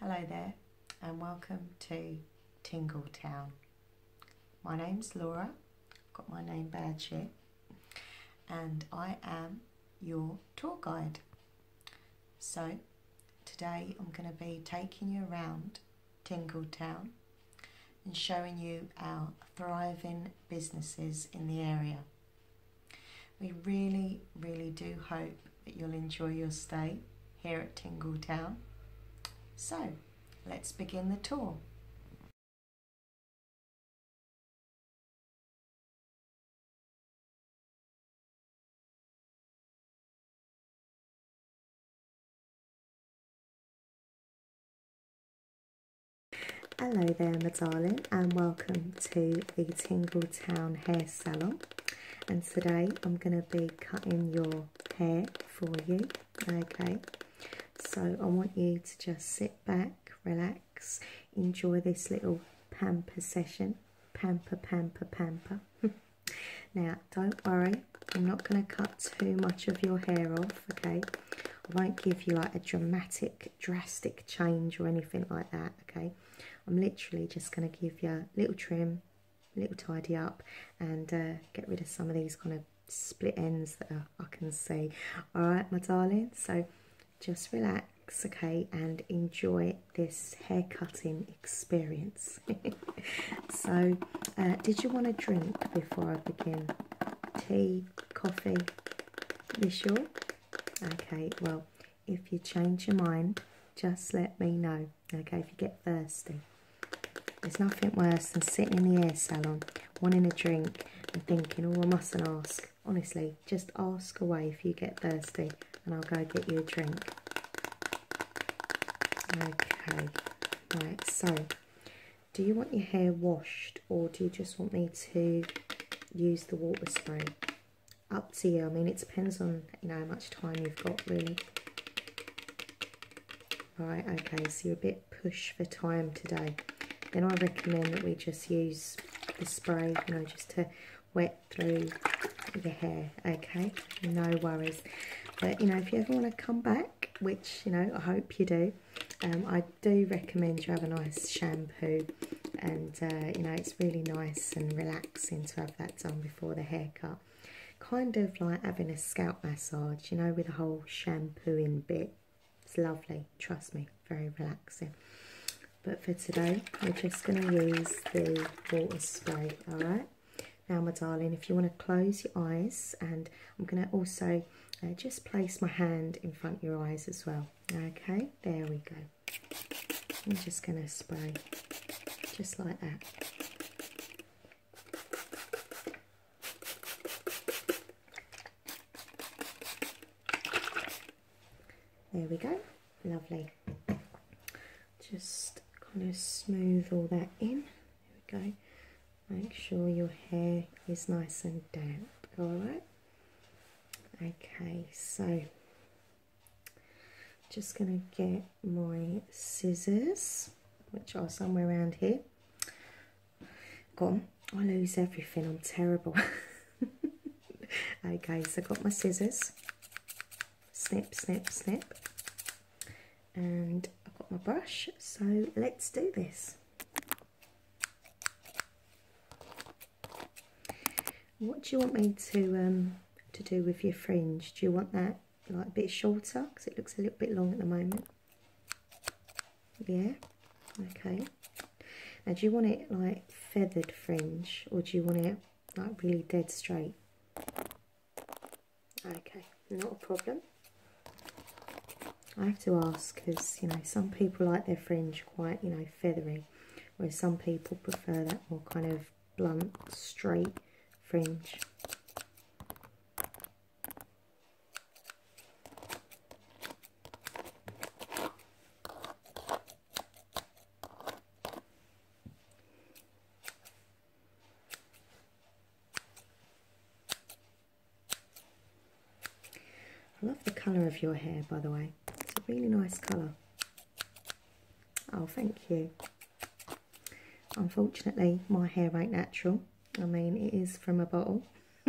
Hello there and welcome to Tingletown. Town. My name's Laura, I've got my name badge here and I am your tour guide. So today I'm going to be taking you around Tingletown and showing you our thriving businesses in the area. We really, really do hope that you'll enjoy your stay here at Tingle Town. So, let's begin the tour. Hello there, my darling, and welcome to the Tingle Town Hair Salon. And today I'm going to be cutting your hair for you. Okay, so I want you to just sit back, relax, enjoy this little pamper session. Pamper, pamper, pamper. now, don't worry, I'm not going to cut too much of your hair off, okay? I won't give you like a dramatic, drastic change or anything like that, okay? I'm literally just going to give you a little trim, a little tidy up and uh, get rid of some of these kind of split ends that I can see. All right, my darling, so just relax, okay, and enjoy this hair cutting experience. so, uh, did you want a drink before I begin? Tea, coffee, this sure? Okay, well, if you change your mind, just let me know. Okay, if you get thirsty. There's nothing worse than sitting in the hair salon, wanting a drink and thinking, oh, I mustn't ask. Honestly, just ask away if you get thirsty and I'll go get you a drink. Okay, right, so do you want your hair washed or do you just want me to use the water spray? up to you. I mean, it depends on, you know, how much time you've got, really. Right, okay, so you're a bit push for time today. Then I recommend that we just use the spray, you know, just to wet through your hair, okay? No worries. But, you know, if you ever want to come back, which, you know, I hope you do, um, I do recommend you have a nice shampoo and, uh, you know, it's really nice and relaxing to have that done for the haircut. Kind of like having a scalp massage, you know, with a whole shampooing bit. It's lovely, trust me, very relaxing. But for today, we're just going to use the water spray, alright? Now, my darling, if you want to close your eyes, and I'm going to also uh, just place my hand in front of your eyes as well. Okay, there we go. I'm just going to spray just like that. There we go, lovely. Just kind of smooth all that in. There we go. Make sure your hair is nice and damp, alright? Okay, so just going to get my scissors, which are somewhere around here. Gone. I lose everything. I'm terrible. okay, so I got my scissors. Snip, snip, snip. And I've got my brush. So let's do this. What do you want me to um, to do with your fringe? Do you want that like a bit shorter? Because it looks a little bit long at the moment. Yeah? Okay. Now, do you want it like feathered fringe or do you want it like really dead straight? Okay, not a problem. I have to ask because, you know, some people like their fringe quite, you know, feathery, whereas some people prefer that more kind of blunt, straight fringe. I love the colour of your hair, by the way. It's a really nice colour. Oh, thank you. Unfortunately, my hair ain't natural. I mean, it is from a bottle.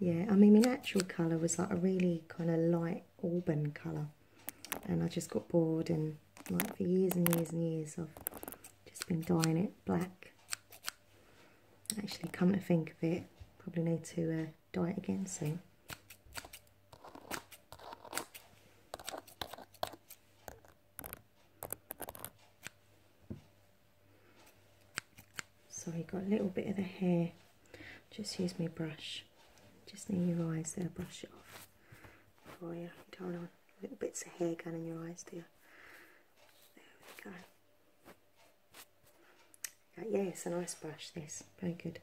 yeah, I mean, my natural colour was like a really kind of light auburn colour. And I just got bored and like for years and years and years I've just been dyeing it black. Actually, come to think of it, probably need to uh, dye it again soon. So you got a little bit of the hair. Just use my brush. Just near your eyes there, brush it off Oh yeah, You don't want little bits of hair going in your eyes, do you? There we go. Yeah, it's a nice brush this, very good.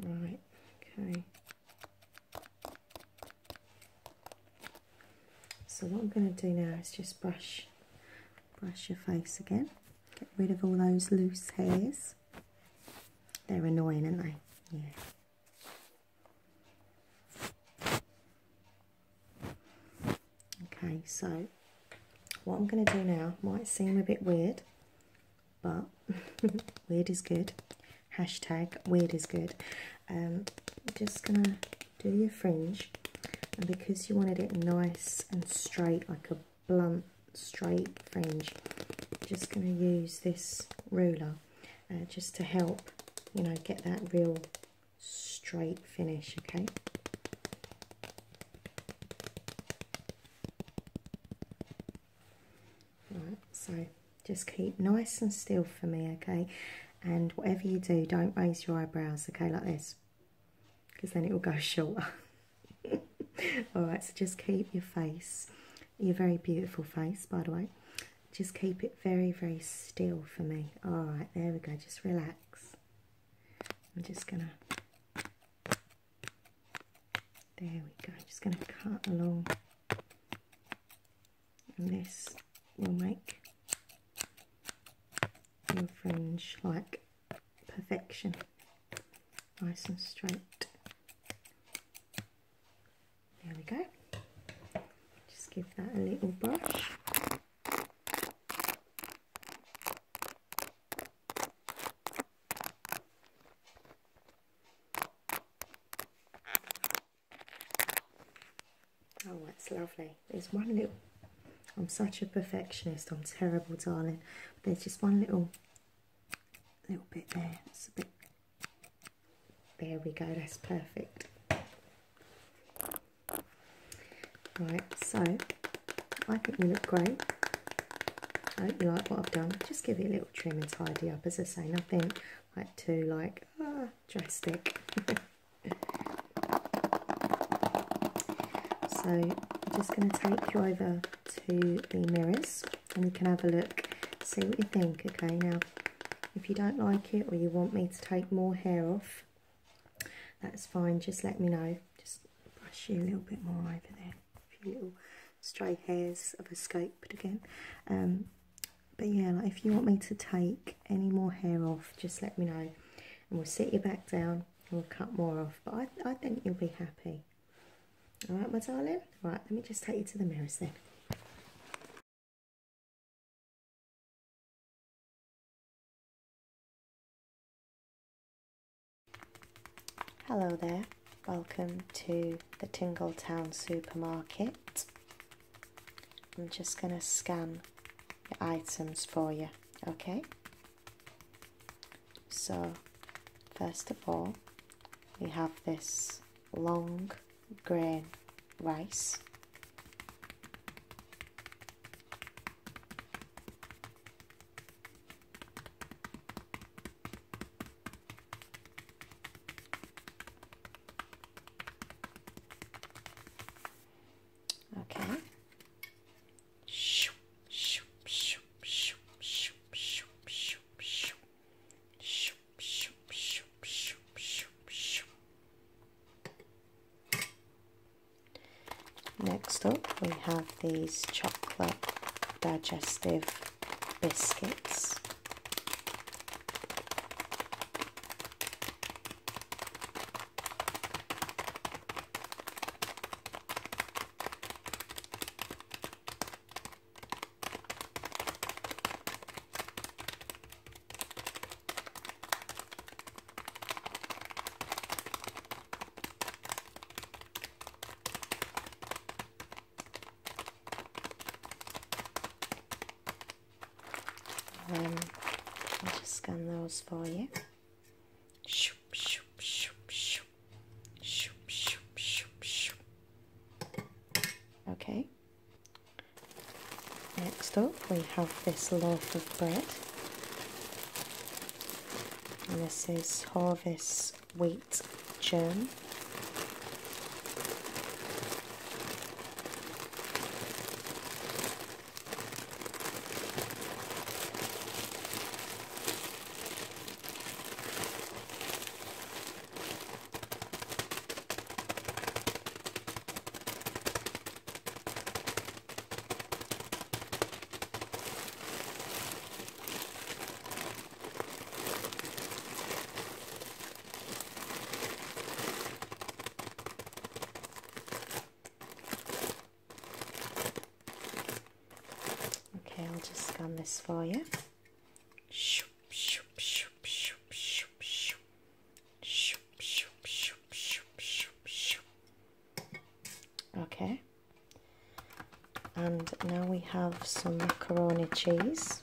Right, okay. So what I'm going to do now is just brush, brush your face again. Get rid of all those loose hairs. They're annoying, aren't they? Yeah. Okay, so what I'm going to do now might seem a bit weird, but weird is good. Hashtag weird is good. Um, I'm just going to do your fringe, and because you wanted it nice and straight, like a blunt, straight fringe, just going to use this ruler uh, just to help, you know, get that real straight finish, okay? Right, so just keep nice and still for me, okay? And whatever you do, don't raise your eyebrows, okay, like this, because then it will go shorter. All right, so just keep your face, your very beautiful face, by the way, just keep it very, very still for me. Alright, there we go. Just relax. I'm just going to... There we go. Just going to cut along. And this will make your fringe like perfection. Nice and straight. There we go. Just give that a little brush. Oh, it's lovely. There's one little... I'm such a perfectionist. I'm terrible, darling. there's just one little little bit there. It's a bit there we go, that's perfect. Right, so I think you look great. I hope you like what I've done. Just give it a little trim and tidy up. As I say, nothing like too like ah, drastic. so I'm just going to take you over to the mirrors and we can have a look, see what you think. Okay, now if you don't like it or you want me to take more hair off, that's fine. Just let me know. Just brush you a little bit more over there. A few little stray hairs have escaped again. Um, but yeah, like if you want me to take any more hair off, just let me know. And we'll sit you back down and we'll cut more off. But I, I think you'll be happy. Alright, my darling? Right, let me just take you to the mirror, then. Hello there, welcome to the Tingletown supermarket. I'm just going to scan your items for you, okay? So, first of all, we have this long grain rice. Okay. Shoo, shoo, shoo, shoo, shoo, shoo, shoo, shoo, shoo. Next up, we have these chocolate digestive biscuits. Um, I'll just scan those for you. shoop, shoop, shoop. Shoop, shoop, shoop, shoop. Okay. Next up we have this loaf of bread and this is Harvest Wheat Germ. Okay, I'll just scan this for you. Okay. And now we have some macaroni cheese.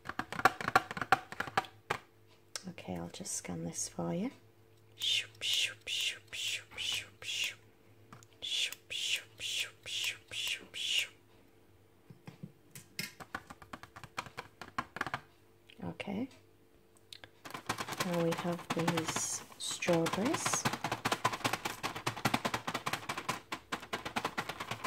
Okay, I'll just scan this for you. Okay. Now we have these strawberries.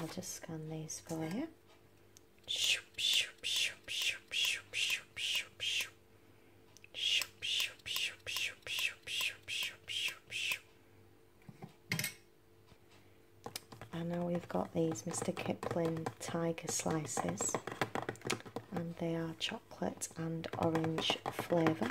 I'll just scan these for you. And now we've got these Mr. Kipling Tiger Slices, and they are chocolate and orange flavour.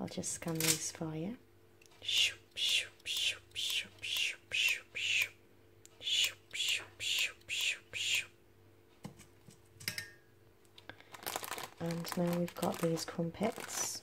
I'll just scan these for you. And now we've got these crumpets.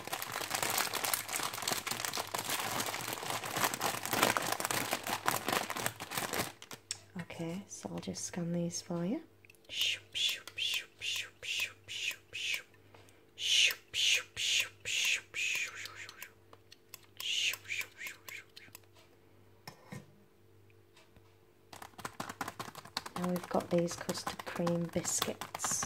Okay, so I'll just scan these for you. Now we've got these custard cream biscuits.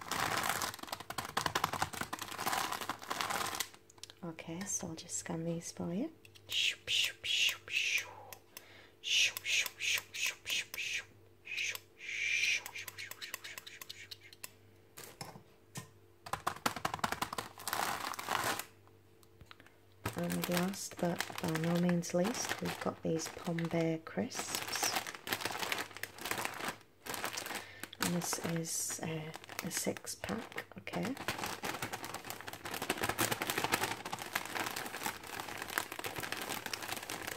Okay, so I'll just scan these for you. And last but by no means least, we've got these Pombear crisps. And this is uh, a six pack, okay.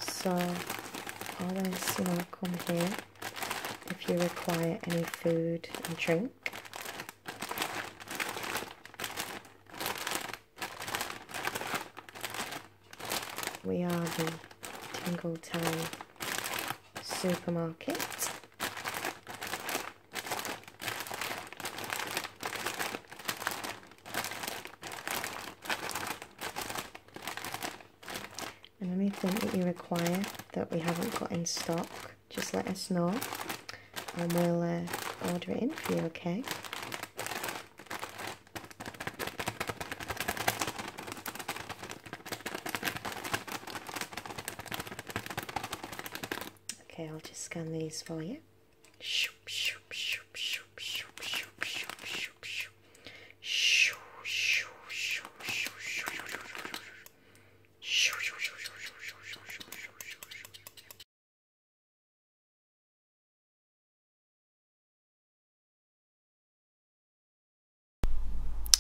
So all this you know come here if you require any food and drink. We are the Tingletown supermarket. And anything that you require that we haven't got in stock, just let us know and we'll uh, order it in for you, okay? Okay, I'll just scan these for you.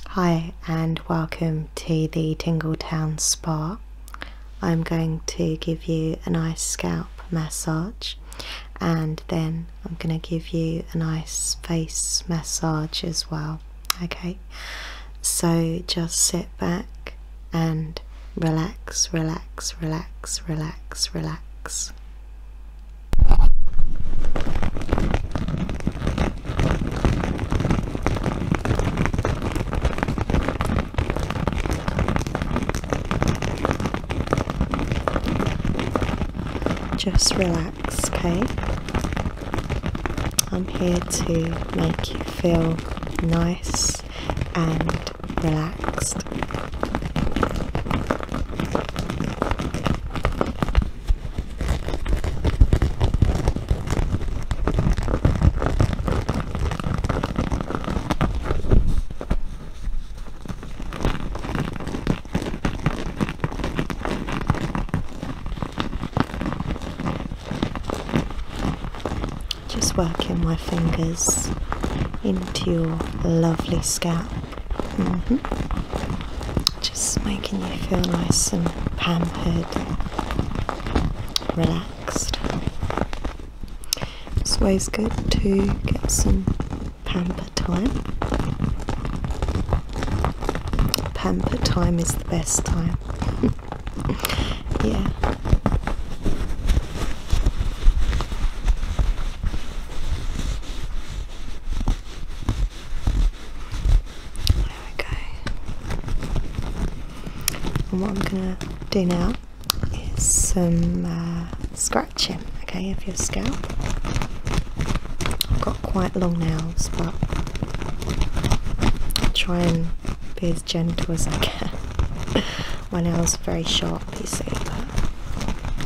Hi and welcome to the Tingletown Spa. I'm going to give you a nice scalp massage and then I'm going to give you a nice face massage as well. Okay, so just sit back and relax, relax, relax, relax, relax. Just relax, okay? I'm here to make you feel nice and relaxed. Just working my fingers into your lovely scalp. Mm-hmm. Just making you feel nice and pampered, relaxed. It's always good to get some pamper time. Pamper time is the best time. yeah. There we go. And what I'm going to do now is some uh, scratching, okay, of your scalp. I've got quite long nails, but I'll try and be as gentle as I can. My nails are very sharp know oh, if that okay? Yeah,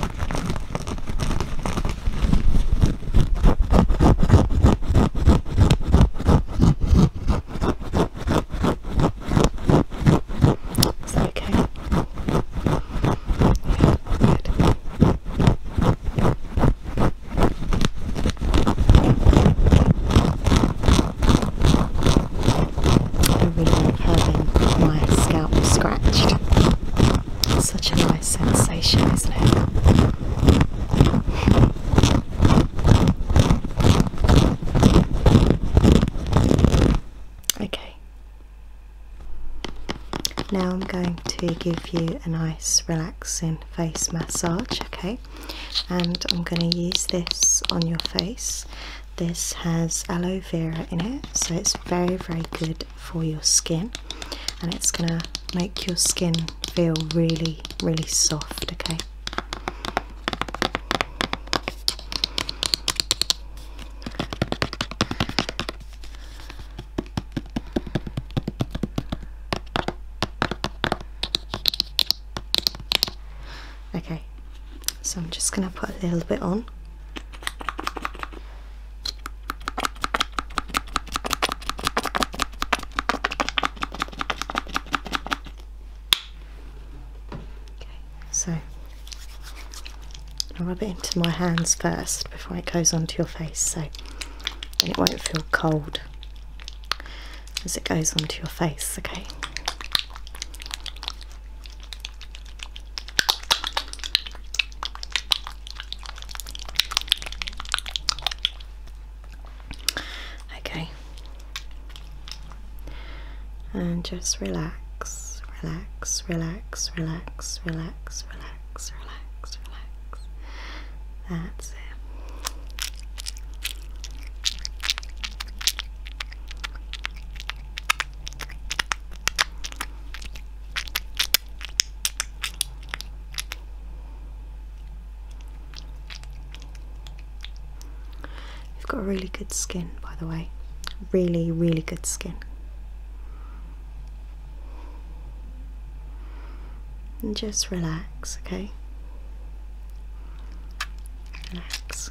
good. I really having my scalp scratched. Such a nice sensation, isn't it? Okay. Now I'm going to give you a nice relaxing face massage, okay? And I'm going to use this on your face. This has aloe vera in it, so it's very, very good for your skin and it's gonna make your skin feel really really soft okay Okay, so I'm just going to put a little bit on so i rub it into my hands first before it goes onto your face so then it won't feel cold as it goes onto your face, okay? Okay. And just relax, relax, relax, relax, relax, relax, relax, relax. That's it. You've got really good skin, by the way. Really, really good skin. And just relax, okay? Relax.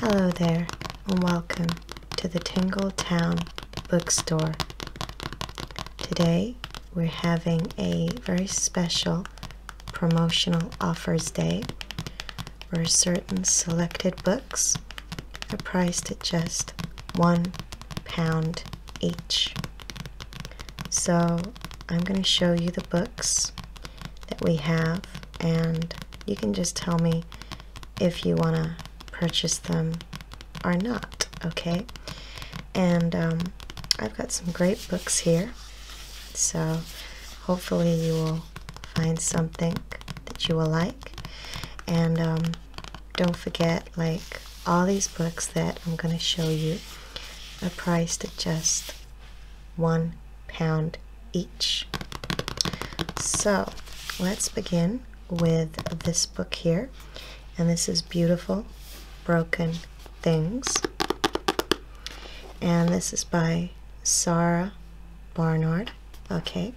Hello there, and welcome to the Tingle Town Bookstore. Today we're having a very special promotional offers day for certain selected books are priced at just one pound each. So I'm going to show you the books that we have and you can just tell me if you want to purchase them are not, okay? And um, I've got some great books here, so hopefully you will find something that you will like. And um, don't forget, like all these books that I'm going to show you are priced at just one pound each. So let's begin with this book here and this is Beautiful Broken Things. And this is by Sarah Barnard. Okay.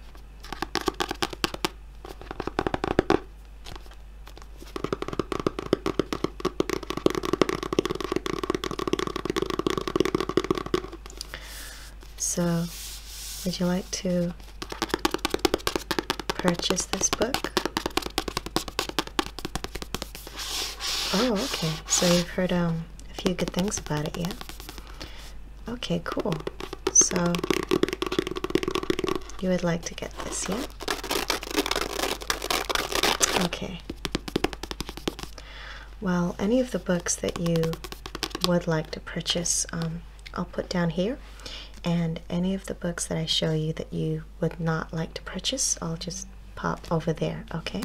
So, would you like to purchase this book? Oh, okay. So you've heard um, a few good things about it, yeah? Okay, cool. So you would like to get this, yeah? Okay. Well, any of the books that you would like to purchase, um, I'll put down here. And any of the books that I show you that you would not like to purchase, I'll just pop over there, okay?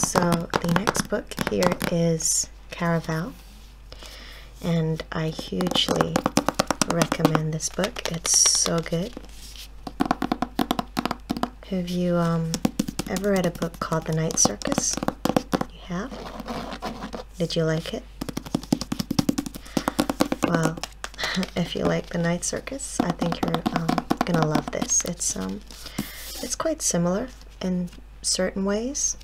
So the next book here is Caraval, and I hugely recommend this book. It's so good. Have you um, ever read a book called The Night Circus? You have? Did you like it? Well, if you like the night circus i think you're um, gonna love this it's um it's quite similar in certain ways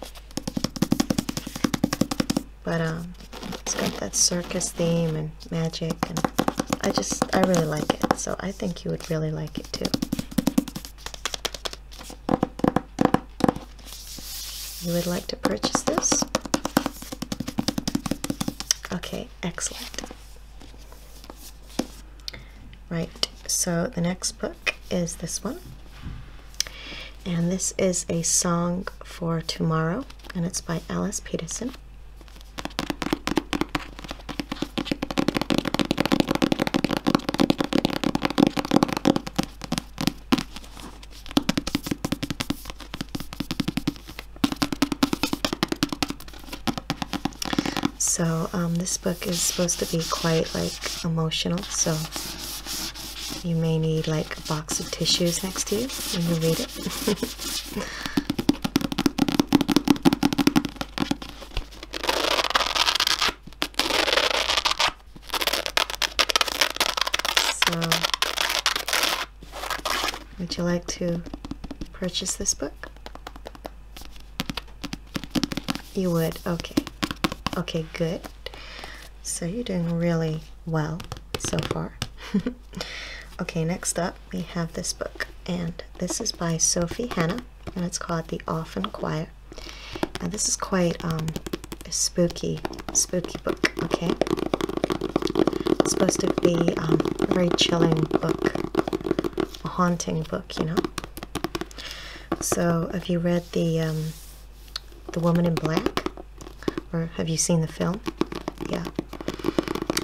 but um it's got that circus theme and magic and i just i really like it so i think you would really like it too you would like to purchase this Okay, excellent. Right, so the next book is this one. And this is A Song for Tomorrow, and it's by Alice Peterson. So, um, this book is supposed to be quite like emotional, so you may need like a box of tissues next to you when you read it. So would you like to purchase this book? You would? Okay. Okay, good. So you're doing really well so far. okay, next up we have this book, and this is by Sophie Hannah, and it's called The Often Quiet. And this is quite um, a spooky, spooky book, okay? It's supposed to be um, a very chilling book, a haunting book, you know? So, have you read the, um, the Woman in Black? Or have you seen the film? Yeah.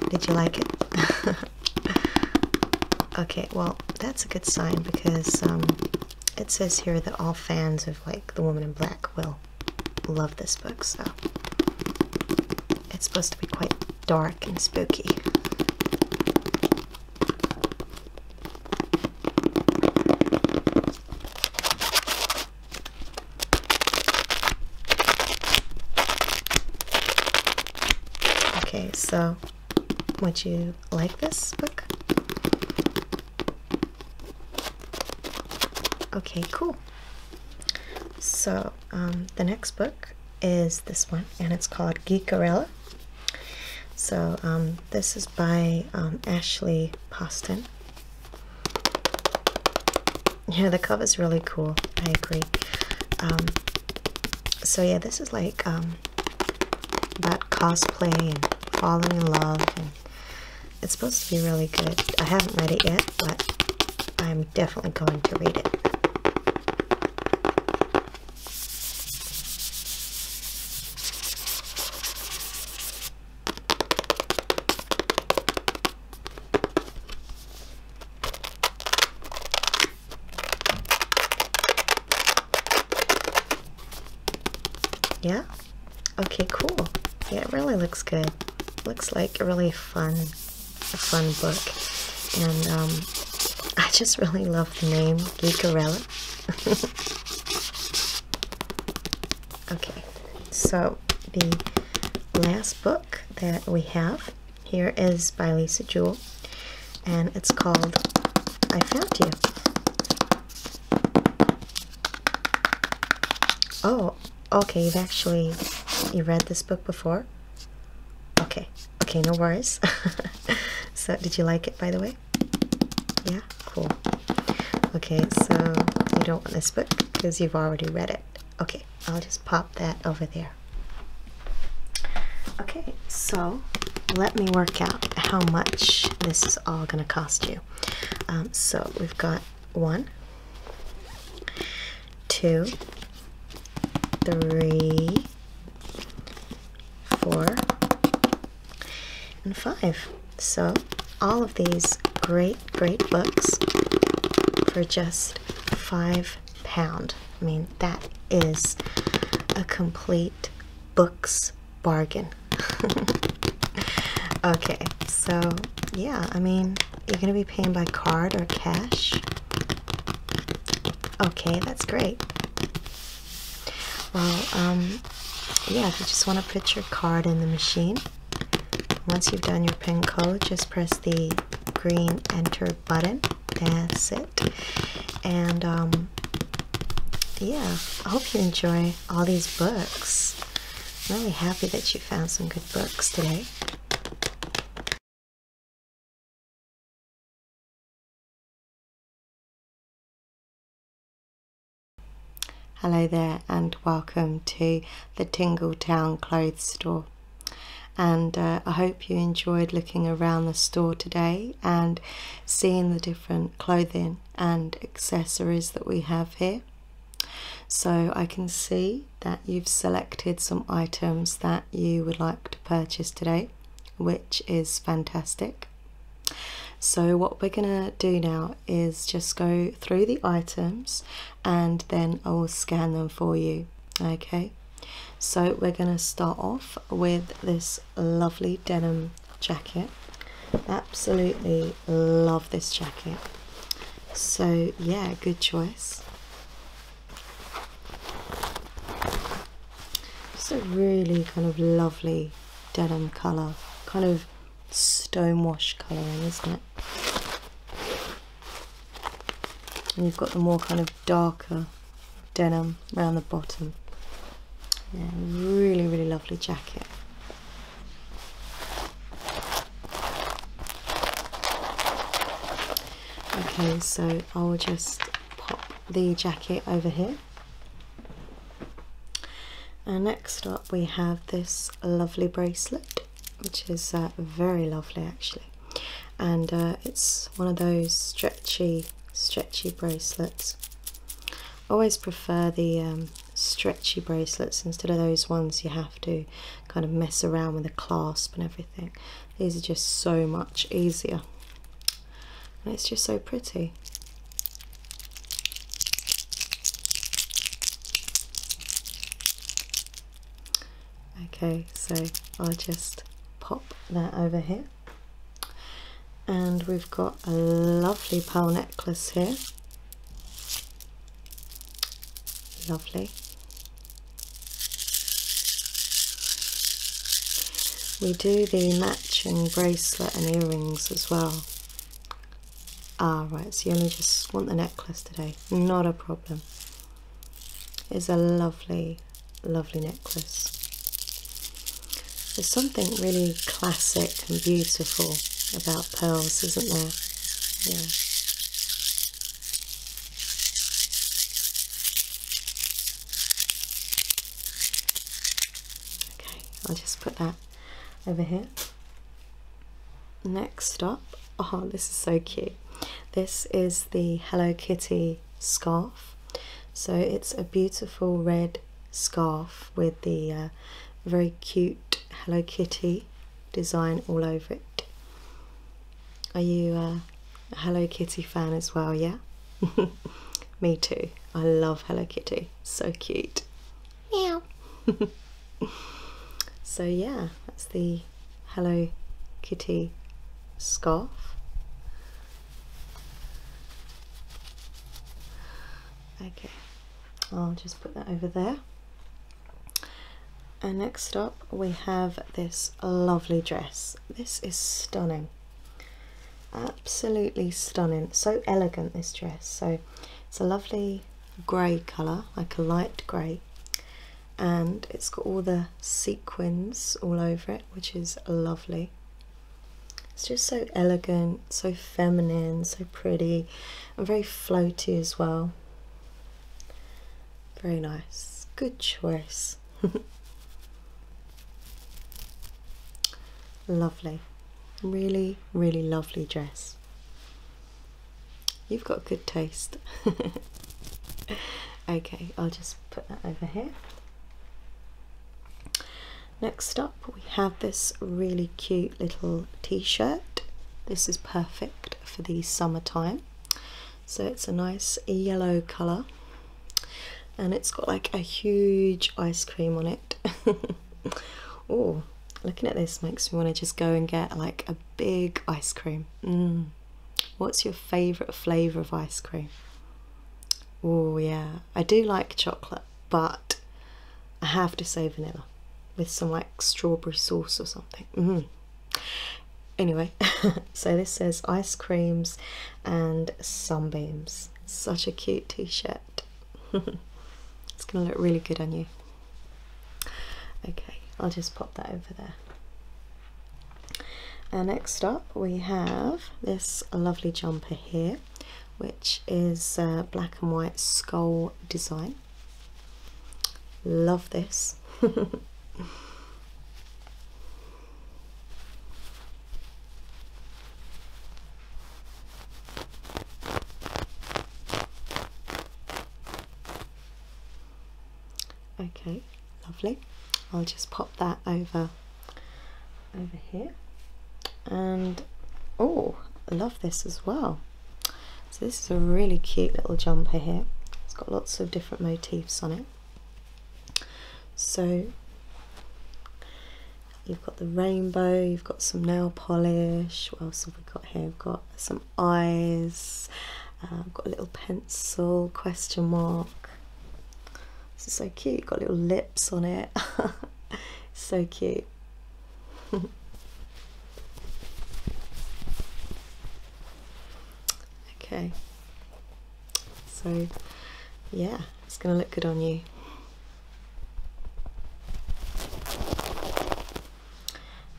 Did you like it? okay, well, that's a good sign because um, it says here that all fans of like The Woman in Black will love this book, so it's supposed to be quite dark and spooky. Okay, so would you like this book? Okay, cool. So um, the next book is this one, and it's called Geekerella. So um, this is by um, Ashley Poston. Yeah, the cover's really cool. I agree. so yeah, this is like um, about cosplay and falling in love and it's supposed to be really good. I haven't read it yet, but I'm definitely going to read it. Yeah, Okay, cool. Yeah, it really looks good. Looks like a really fun, fun book. And um, I just really love the name Geekorella. okay, so the last book that we have here is by Lisa Jewell, and it's called I Found You. Oh, Okay, you've actually you read this book before? Okay. Okay, no worries. so did you like it by the way? Yeah, cool. Okay, so you don't want this book because you've already read it. Okay, I'll just pop that over there. Okay, so let me work out how much this is all going to cost you. Um, so we've got one, two, three, four, and five. So, all of these great, great books for just five pound. I mean, that is a complete books bargain. okay, so yeah, I mean, you're going to be paying by card or cash? Okay, that's great. Well, um, yeah, you just want to put your card in the machine, once you've done your PIN code, just press the green enter button. That's it. And um, yeah, I hope you enjoy all these books. I'm really happy that you found some good books today. Hello there, and welcome to the Tingletown Clothes Store. And uh, I hope you enjoyed looking around the store today and seeing the different clothing and accessories that we have here. So I can see that you've selected some items that you would like to purchase today, which is fantastic. So what we're gonna do now is just go through the items and then I will scan them for you, okay? So we're gonna start off with this lovely denim jacket. Absolutely love this jacket. So, yeah, good choice. It's a really kind of lovely denim colour, kind of stone wash colouring, isn't it? And you've got the more kind of darker denim around the bottom. Yeah, really, really lovely jacket. Okay, so I'll just pop the jacket over here. And next up we have this lovely bracelet, which is uh, very lovely actually. And uh, it's one of those stretchy, stretchy bracelets. always prefer the um, stretchy bracelets instead of those ones you have to kind of mess around with a clasp and everything. These are just so much easier. And it's just so pretty. Okay, so I'll just pop that over here. And we've got a lovely pearl necklace here. Lovely. We do the matching bracelet and earrings as well. Ah, right, so you only just want the necklace today. Not a problem. It's a lovely, lovely necklace. There's something really classic and beautiful about pearls, isn't there? Okay, I'll just put that over here. Next up, oh, this is so cute. This is the Hello Kitty scarf. So it's a beautiful red scarf with the uh, very cute Hello Kitty design all over it. Are you a Hello Kitty fan as well? Yeah, me too. I love Hello Kitty, so cute. Meow. so, yeah, that's the Hello Kitty scarf. Okay, I'll just put that over there. And next up we have this lovely dress. This is stunning. Absolutely stunning. So elegant this dress. So it's a lovely grey colour, like a light grey. And it's got all the sequins all over it, which is lovely. It's just so elegant so feminine, so pretty, and very floaty as well. Very nice. Good choice. lovely. Really, really lovely dress. You've got good taste. okay, I'll just put that over here. Next up, we have this really cute little t-shirt this is perfect for the summertime so it's a nice yellow color and it's got like a huge ice cream on it oh looking at this makes me want to just go and get like a big ice cream mm. what's your favorite flavor of ice cream oh yeah i do like chocolate but i have to say vanilla with some like strawberry sauce or something. Mm-hmm. Anyway, so this says ice creams and sunbeams. Such a cute t shirt. it's going to look really good on you. Okay, I'll just pop that over there. And uh, next up, we have this lovely jumper here, which is uh, black and white skull design. Love this. okay, lovely. I'll just pop that over over here and oh love this as well so this is a really cute little jumper here. It's got lots of different motifs on it. So you've got the rainbow, you've got some nail polish, what else have we got here? We've got some eyes, uh, I've got a little pencil, question mark. This is so cute, got little lips on it. so cute. okay. So, yeah, it's going to look good on you.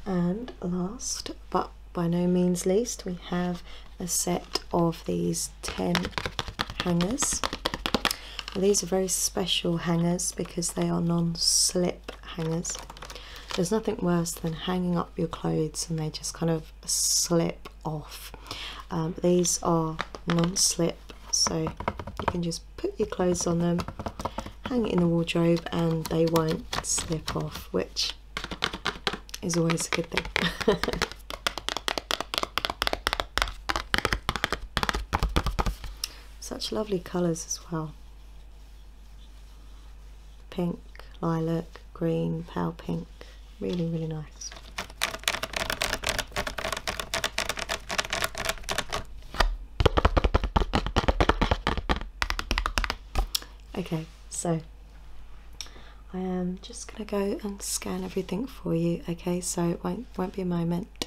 And last, but by no means least, we have a set of these 10 hangers. These are very special hangers because they are non-slip hangers. There's nothing worse than hanging up your clothes and they just kind of slip off. Um, these are non-slip, so you can just put your clothes on them, hang it in the wardrobe and they won't slip off, which is always a good thing. Such lovely colours as well. Pink, lilac, green, pale pink. Really, really nice. Okay, so I am just going to go and scan everything for you, okay? So it won't, won't be a moment.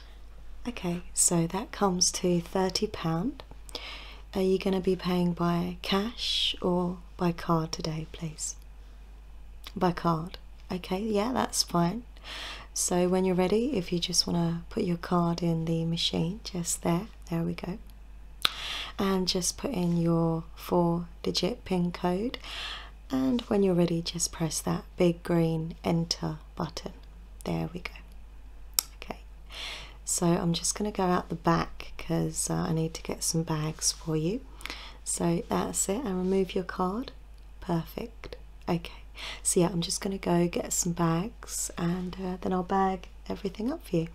Okay, so that comes to £30. Are you going to be paying by cash or by card today, please? By card. Okay, yeah, that's fine. So when you're ready, if you just want to put your card in the machine, just there, there we go. And just put in your four digit PIN code. And when you're ready, just press that big green enter button. There we go. Okay, so I'm just going to go out the back because uh, I need to get some bags for you. So that's it, and remove your card. Perfect. Okay, so yeah, I'm just going to go get some bags and uh, then I'll bag everything up for you.